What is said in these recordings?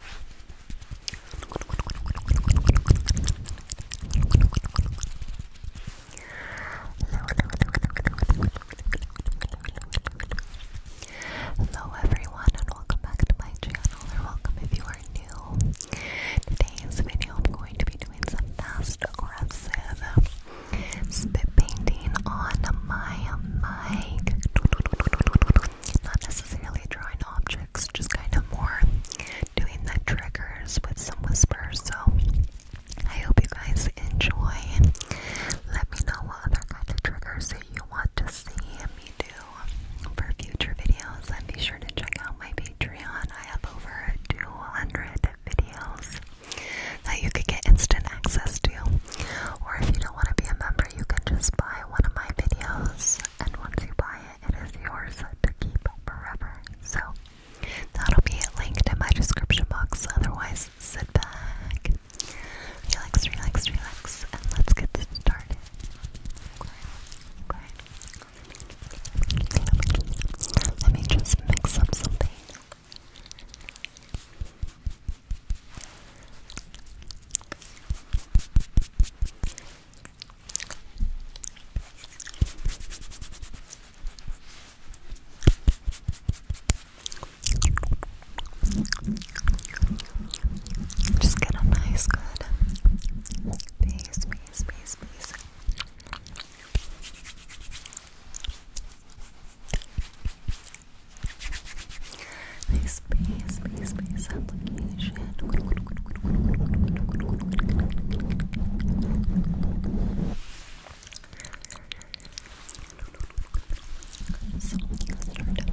Hello everyone and welcome back to my channel or welcome if you are new. Today's video I'm going to be doing some fast aggressive spit painting on my mic not necessarily drawing objects, just kind of more doing the triggers with some whispers. So I hope you guys enjoy. Let me know what other kind of triggers you want to see me do for future videos. And be sure to check out my Patreon. I have over 200 videos that you could get instant access to. Or if you don't want to be a member, you can just buy one of my videos, and once you buy it, it is yours to keep forever. So that'll be linked in my description box. Otherwise, sit back, relax, relax, relax, and let's get started. Let me just mix up something. Just get a nice, good piece, piece, piece, piece. Space, space, space, space application. So let's filling it out around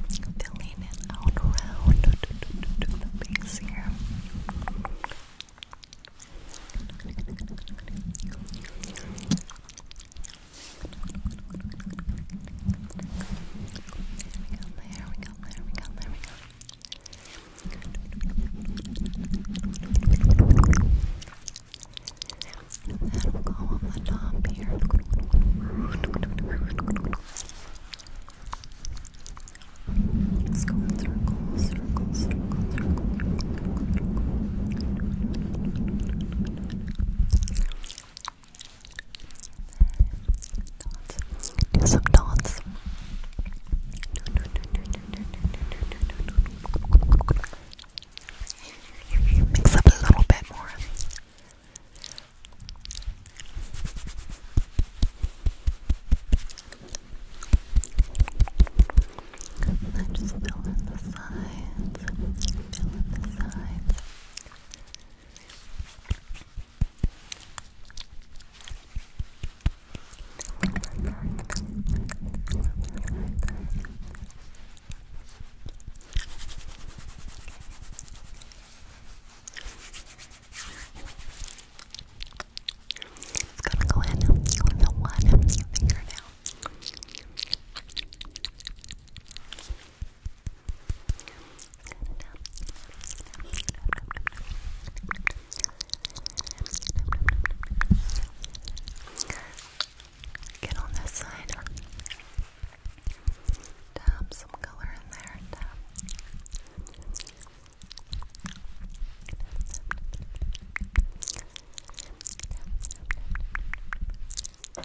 the base here. There we go, there we go, there we go. And then we'll go on the top here. Let's go in circles, circles, circles, circles, circles, circles, circles. Dance. Do some dots. Mix up a little bit more. then just fill in the sides. Fill in the sides. It's gonna go in with the one finger now. Get on this side. Tap some color in there. Tap. Tap,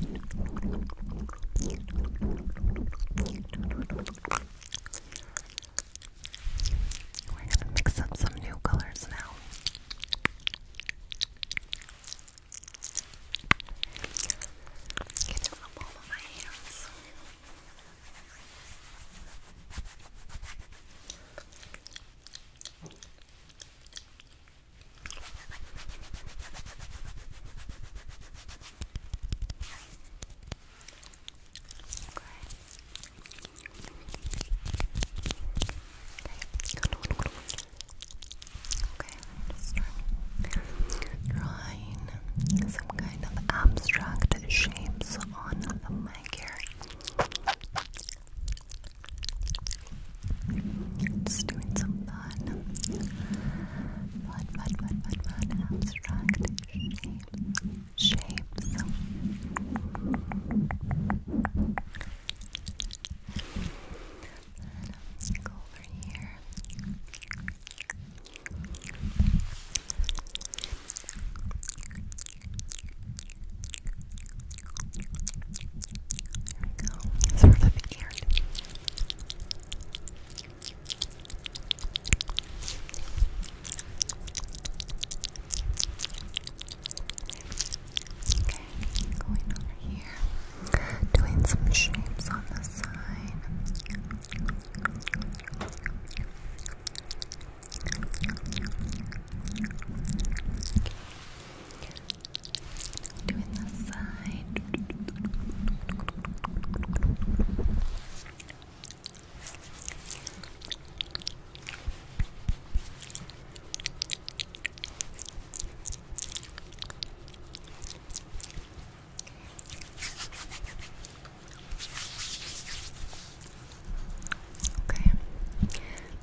We're gonna mix up some new colors now. Get it on the of my hands. Okay, just drawing some kind of abstract shapes on my carrot. Okay. Just doing some fun. Fun, fun, fun, fun, Abstract shapes. Shapes. over here. There we go. Sort of eared. Okay, going over here. Doing some shapes on the side doing the side Okay,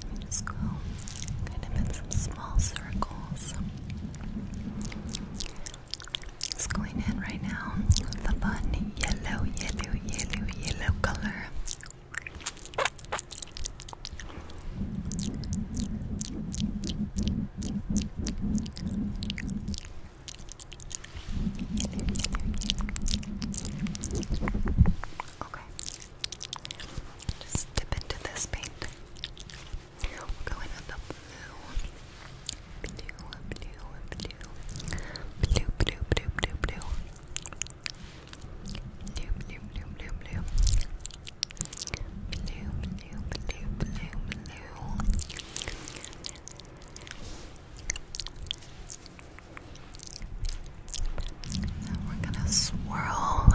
let me just go kind of in some small circles. It's going in right now the fun yellow, yellow, yellow, yellow color. Okay, just dip into this paint. We'll go in with the blue. Blue, blue, blue. Blue, blue, blue, blue, blue. Blue, blue, blue, blue, blue. Blue, blue, blue, blue, blue. Blue, and we're gonna swirl,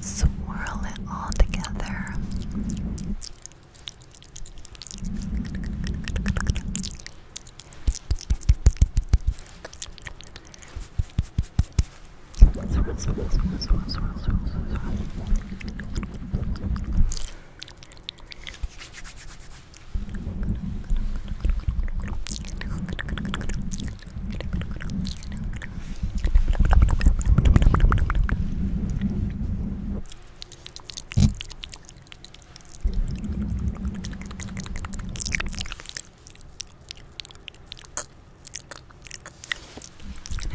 swirl it all together. Now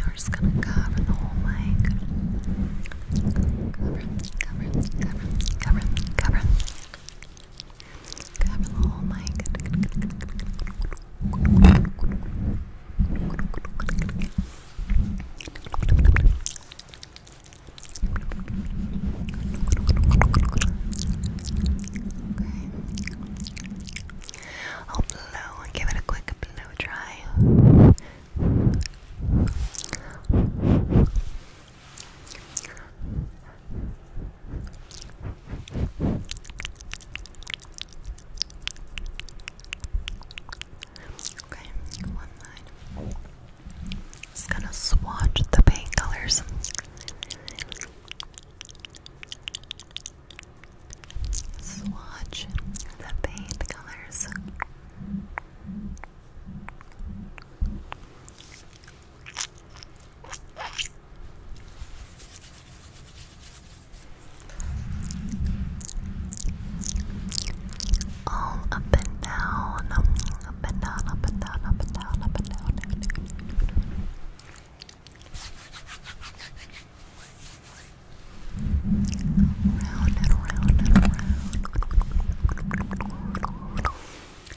we're just gonna cover the whole mic. Cover, cover, cover, cover, cover. Grab a I'll blow give it a quick blow dry. Okay, one line. Just gonna swatch the paint colors. Swatch the paint colors. All up and down, up and down, up and down, up and down, up and down. Down, down, down. Round and round and round.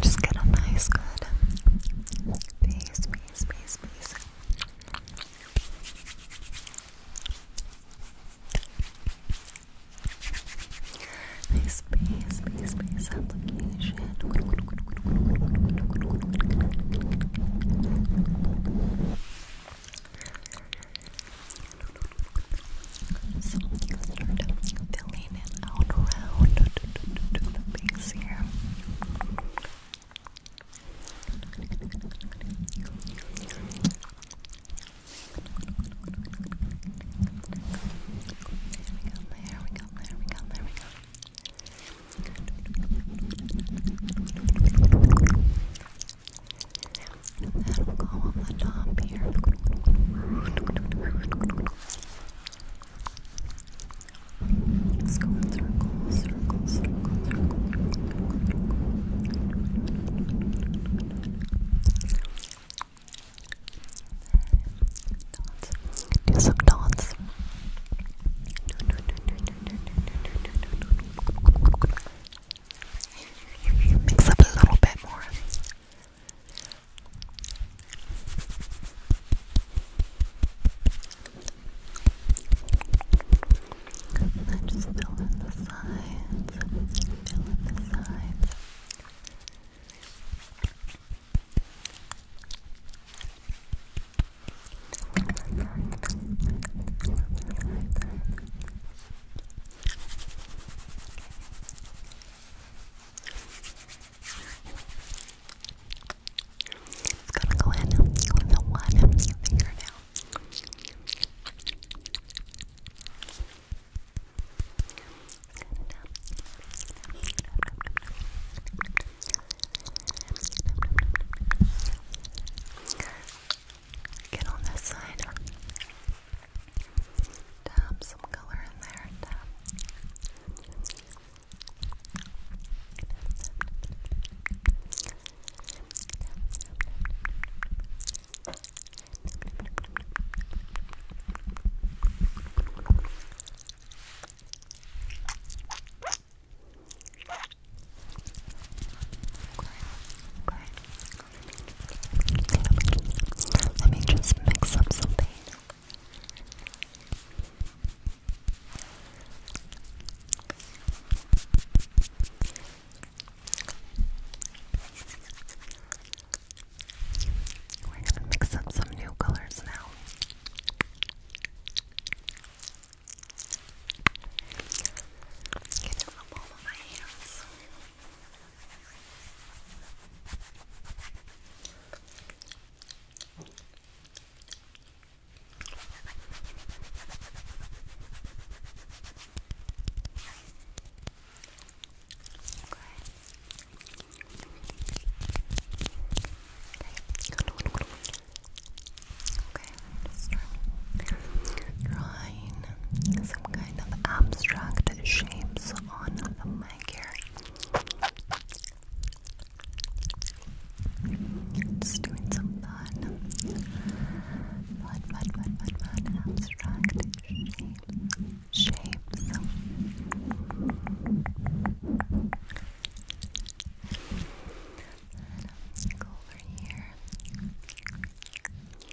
Just get a nice, good base, base, base, base. Nice base, base, base application. Good, so i start filling it out around the base here. There we go, there we go, there we go. That'll go on the top here. Let's go in circles, circles, circles, Do some dots. Mix up a little bit more. And then just fill in the sides. Fill in the sides. Fill in the sides. It's gonna go in with the one fingernail. Get on this side. Tap some color in there. Okay. Let me just mix up something. We're gonna mix up some new colors now. Get it up all my hands. Okay, let some kind of abstract shapes on the mic here. Just doing some fun. Fun, fun, fun, fun, Abstract shapes. Shapes. over here. There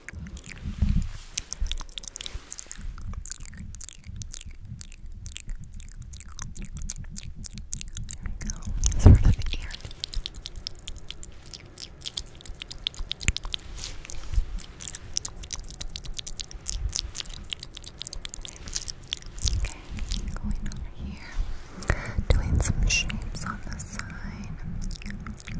we go. Sort of here. Okay, going over here, doing some shapes on the side. Okay.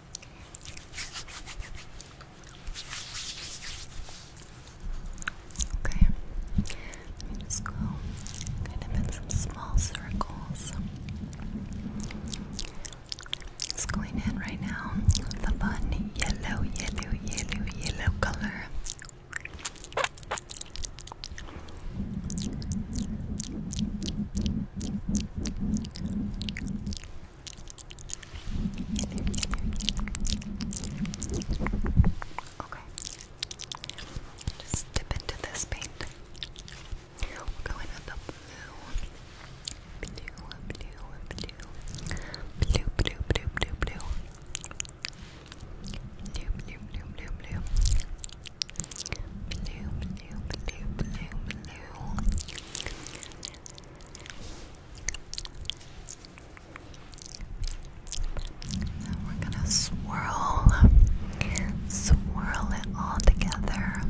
Okay, let me go kind of in some small circles. It's going in right now with the button, yellow, yellow, yellow, yellow color. Okay. Just dip into this paint. We'll go in the blue. Blue, blue, blue. Blue, blue, blue, blue, blue. Blue, blue, blue, blue, blue. Blue, blue, blue, blue, blue we're gonna swirl, swirl it all together.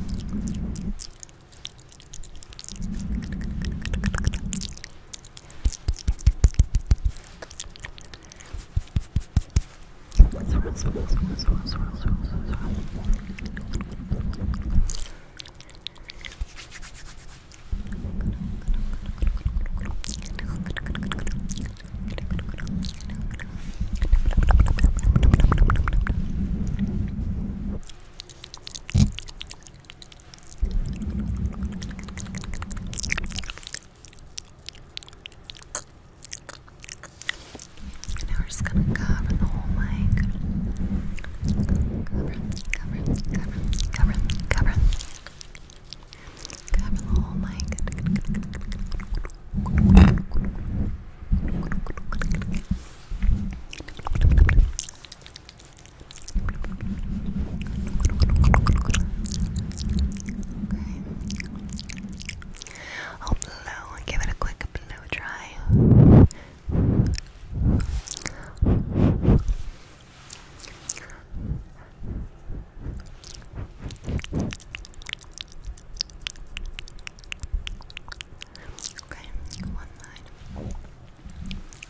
Now we're just gonna cover the whole mic cover, cover, cover, cover, cover. Cover the whole mic. Okay. Oh, blow. Give it a quick blow dry. Okay, one line.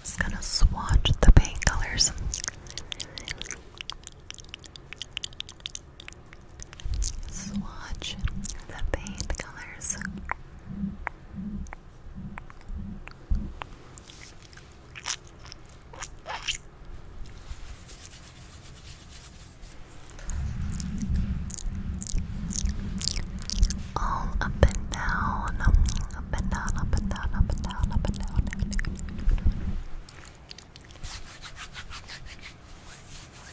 Just gonna swatch the paint colors. Swatch the paint colors. All up and down, up and down, up and down, up and down, up and down.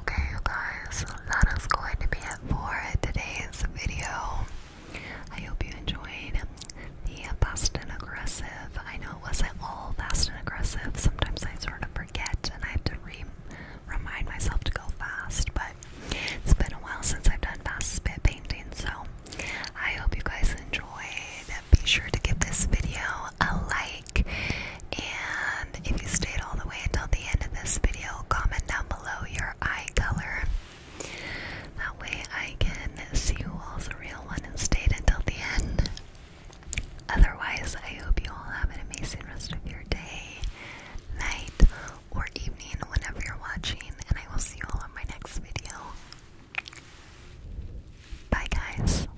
Okay, guys, that is going to be it for today's video. I hope you enjoyed the fast and aggressive. I know it wasn't all fast and aggressive. Sometimes I sort of forget and I have to remind myself to go fast, but it's been a while since I've done fast spit painting, so I hope you guys enjoyed. Be sure to give this video a like. And if you stayed all the way until the end of this video, comment down below your eye color. That way I can see who all's a real one and stayed until the end. Otherwise, I hope you all have an amazing rest of your day, night, or evening, whenever you're watching, and I will see you all in my next video. Bye, guys.